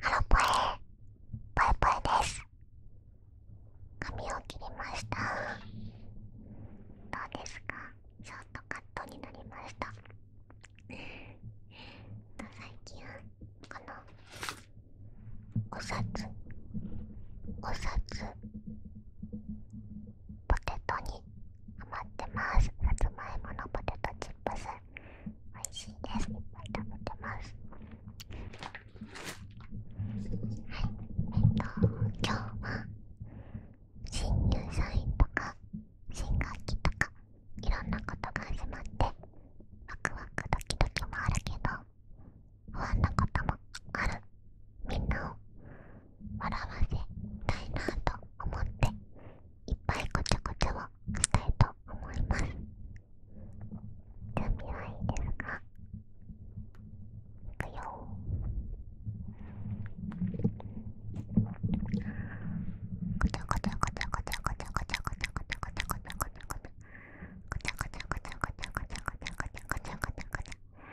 ハロポエぽえぽえです髪を切りましたどうですかショートカットになりました最近このお札お札ポテトに余ってますさつまポテトチップス美味しいでってますはいえっと今日は新入社員とか新学期とかいろんなことが始まってワクワクドキドキもあるけど不安なこともあるみんなを笑わせたいなと思っていっぱいごちゃごちゃをしたいと思います準備はいいですかいくよごちゃごちゃごちゃごちゃごちゃ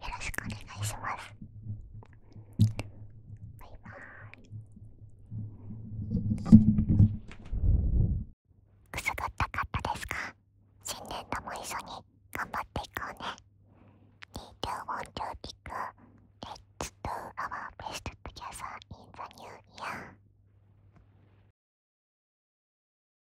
よろしくお願いしますバイバーイくすぐったかったですか新年とも一緒に頑張っていこうね 2,2,1,2,3,Let's do our best together in the new year